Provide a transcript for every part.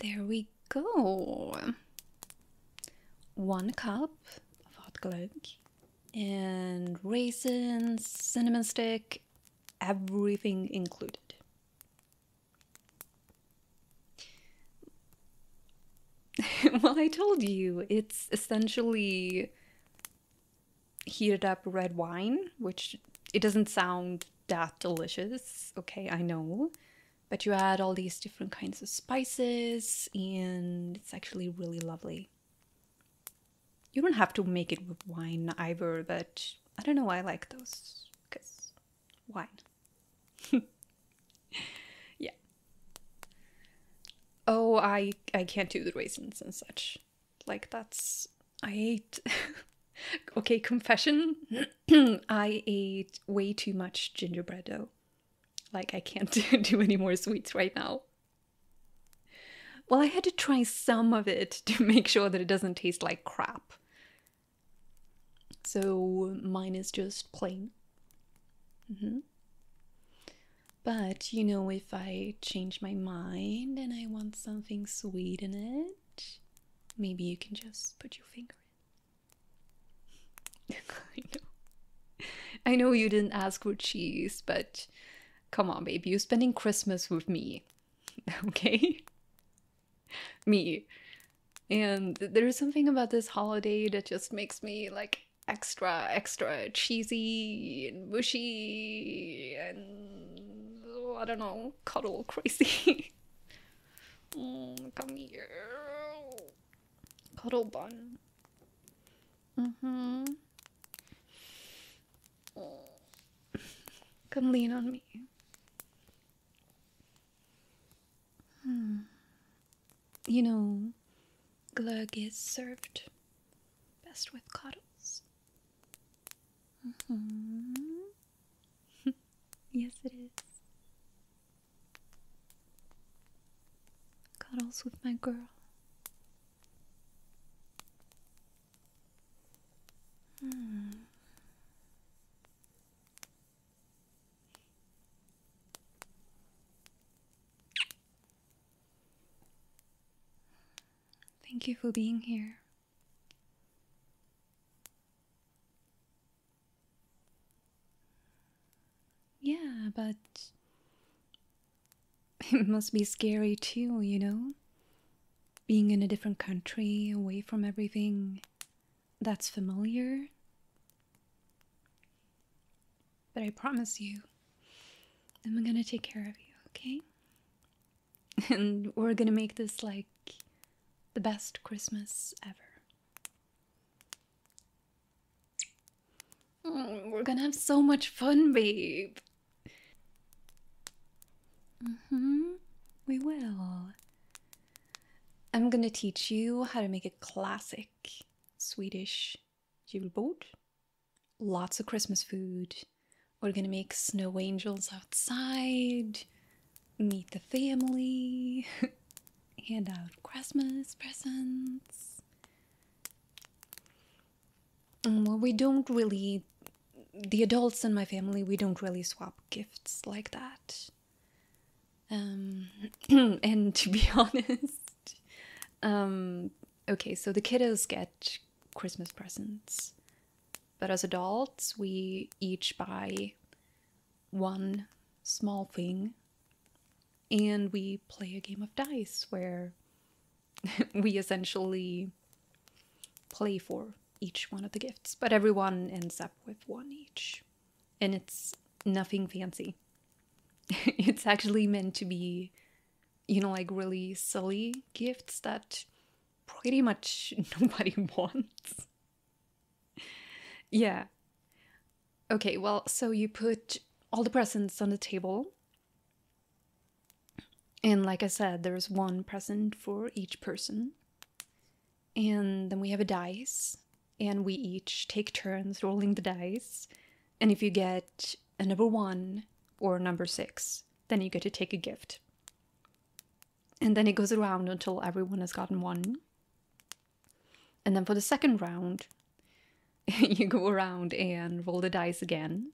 There we go. One cup of hot glue and raisins, cinnamon stick, everything included. well, I told you, it's essentially heated up red wine, which it doesn't sound that delicious. Okay, I know. But you add all these different kinds of spices, and it's actually really lovely. You don't have to make it with wine either, but I don't know, why I like those because wine. yeah. Oh, I, I can't do the raisins and such. Like, that's. I ate. okay, confession. I ate way too much gingerbread dough. Like, I can't do any more sweets right now. Well, I had to try some of it to make sure that it doesn't taste like crap. So mine is just plain. Mm -hmm. But you know, we if I change my mind and I want something sweet in it, maybe you can just put your finger in. I know. I know you didn't ask for cheese, but come on, baby, you're spending Christmas with me. Okay? me. And there's something about this holiday that just makes me like extra, extra cheesy and mushy and I don't know, cuddle crazy. Mm, come here. Cuddle bun. Mm-hmm. Mm. Come lean on me. Hmm. You know, glug is served best with cuddles. Mm-hmm. Uh -huh. yes, it is. Cuddles with my girl. Hmm. Thank you for being here. Yeah, but it must be scary too, you know? Being in a different country, away from everything that's familiar. But I promise you, I'm gonna take care of you, okay? And we're gonna make this like the best Christmas ever. Mm, we're gonna have so much fun, babe. Mm-hmm. We will. I'm gonna teach you how to make a classic Swedish julbord. Lots of Christmas food. We're gonna make snow angels outside, meet the family, hand out Christmas presents. Mm, well, we don't really, the adults in my family, we don't really swap gifts like that. Um, and to be honest, um, okay, so the kiddos get Christmas presents. But as adults, we each buy one small thing and we play a game of dice where we essentially play for each one of the gifts, but everyone ends up with one each. And it's nothing fancy. it's actually meant to be you know, like really silly gifts that pretty much nobody wants. yeah. Okay, well, so you put all the presents on the table. And like I said, there's one present for each person. And then we have a dice, and we each take turns rolling the dice. And if you get a number one or number six, then you get to take a gift. And then it goes around until everyone has gotten one. And then for the second round, you go around and roll the dice again.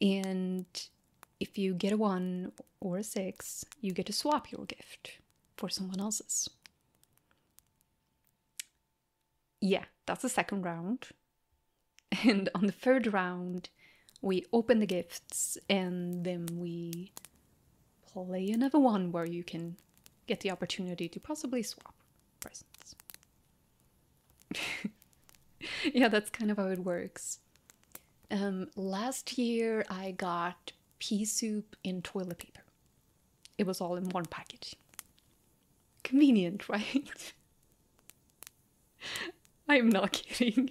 And if you get a one or a six, you get to swap your gift for someone else's yeah, that's the second round. And on the third round, we open the gifts and then we play another one where you can get the opportunity to possibly swap presents. yeah, that's kind of how it works. Um, last year, I got pea soup in toilet paper. It was all in one package. Convenient, right? I'm not kidding.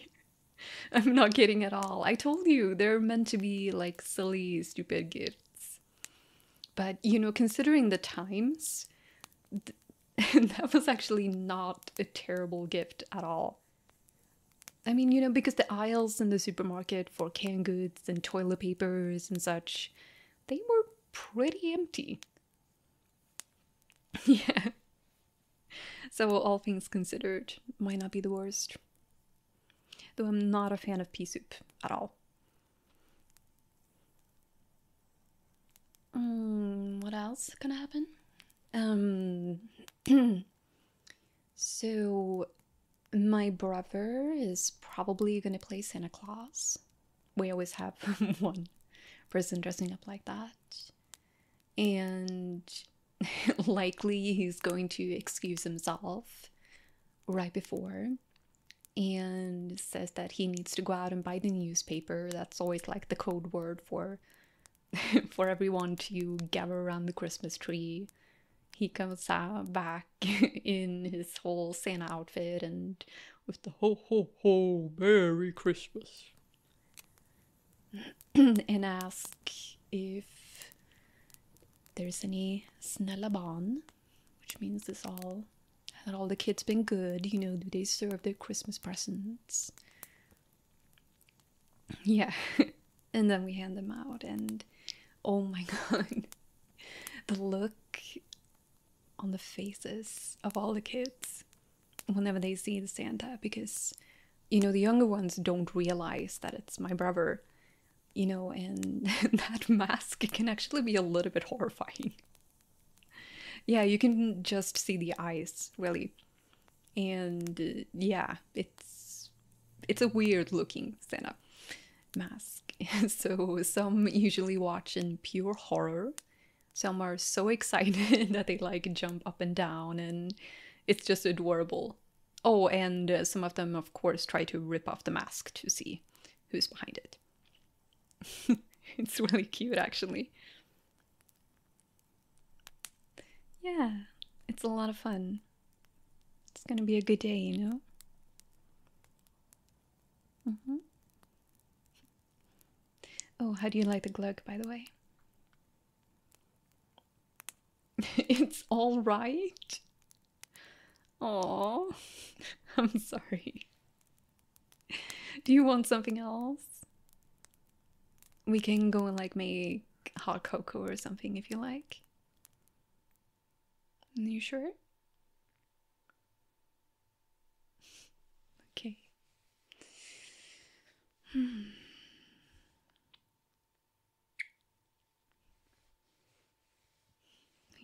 I'm not kidding at all. I told you they're meant to be like silly, stupid gifts. But you know, considering the times, that was actually not a terrible gift at all. I mean, you know, because the aisles in the supermarket for canned goods and toilet papers and such, they were pretty empty. yeah. So, all things considered, might not be the worst. Though I'm not a fan of pea soup at all. Um, what else gonna happen? Um, so my brother is probably gonna play Santa Claus we always have one person dressing up like that. And likely he's going to excuse himself right before and says that he needs to go out and buy the newspaper. That's always like the code word for for everyone to gather around the Christmas tree. He comes out back in his whole Santa outfit and with the ho ho ho Merry Christmas and ask if there's any snellabon, which means it's all had all the kids been good, you know, do they serve their Christmas presents? Yeah. and then we hand them out and oh my god. The look on the faces of all the kids whenever they see the Santa because you know the younger ones don't realize that it's my brother you know and that mask can actually be a little bit horrifying yeah you can just see the eyes really and uh, yeah it's it's a weird looking Santa mask. so some usually watch in pure horror. Some are so excited that they like jump up and down and it's just adorable. Oh, and some of them, of course, try to rip off the mask to see who's behind it. it's really cute, actually. Yeah, it's a lot of fun. It's gonna be a good day, you know? Mm-hmm. Oh, how do you like the glug, by the way? it's all right. Oh, I'm sorry. Do you want something else? We can go and like make hot cocoa or something if you like. Are you sure? okay. Hmm.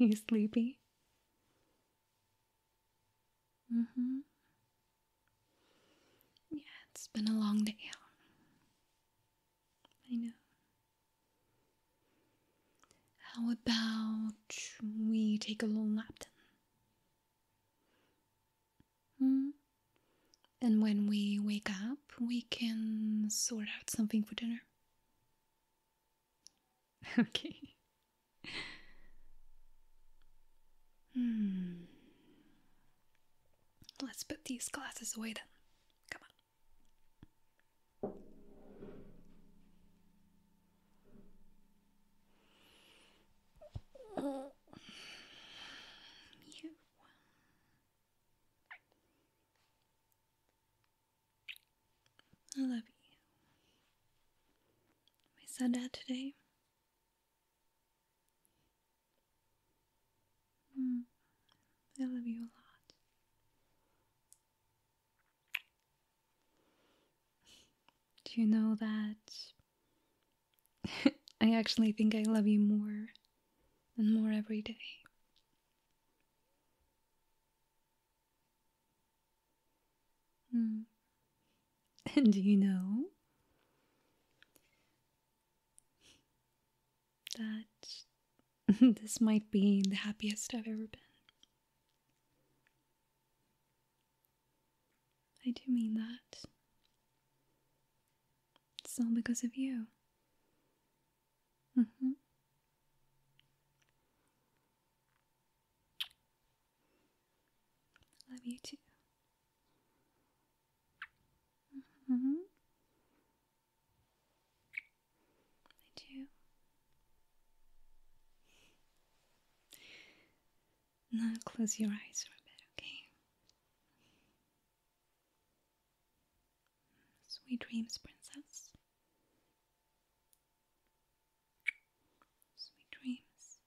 Are you sleepy? Mm hmm. Yeah, it's been a long day I know. How about we take a little nap then? Hmm? And when we wake up, we can sort out something for dinner. Okay. Hmm. Let's put these glasses away then. Come on. You. I love you. We said that today. Mm, I love you a lot. Do you know that I actually think I love you more and more every day? Hmm. And do you know? that this might be the happiest I've ever been. I do mean that. It's all because of you. Mm-hmm. Love you too. Mm-hmm. I do. Now close your eyes for a bit, okay? Sweet dreams, princess. Sweet dreams.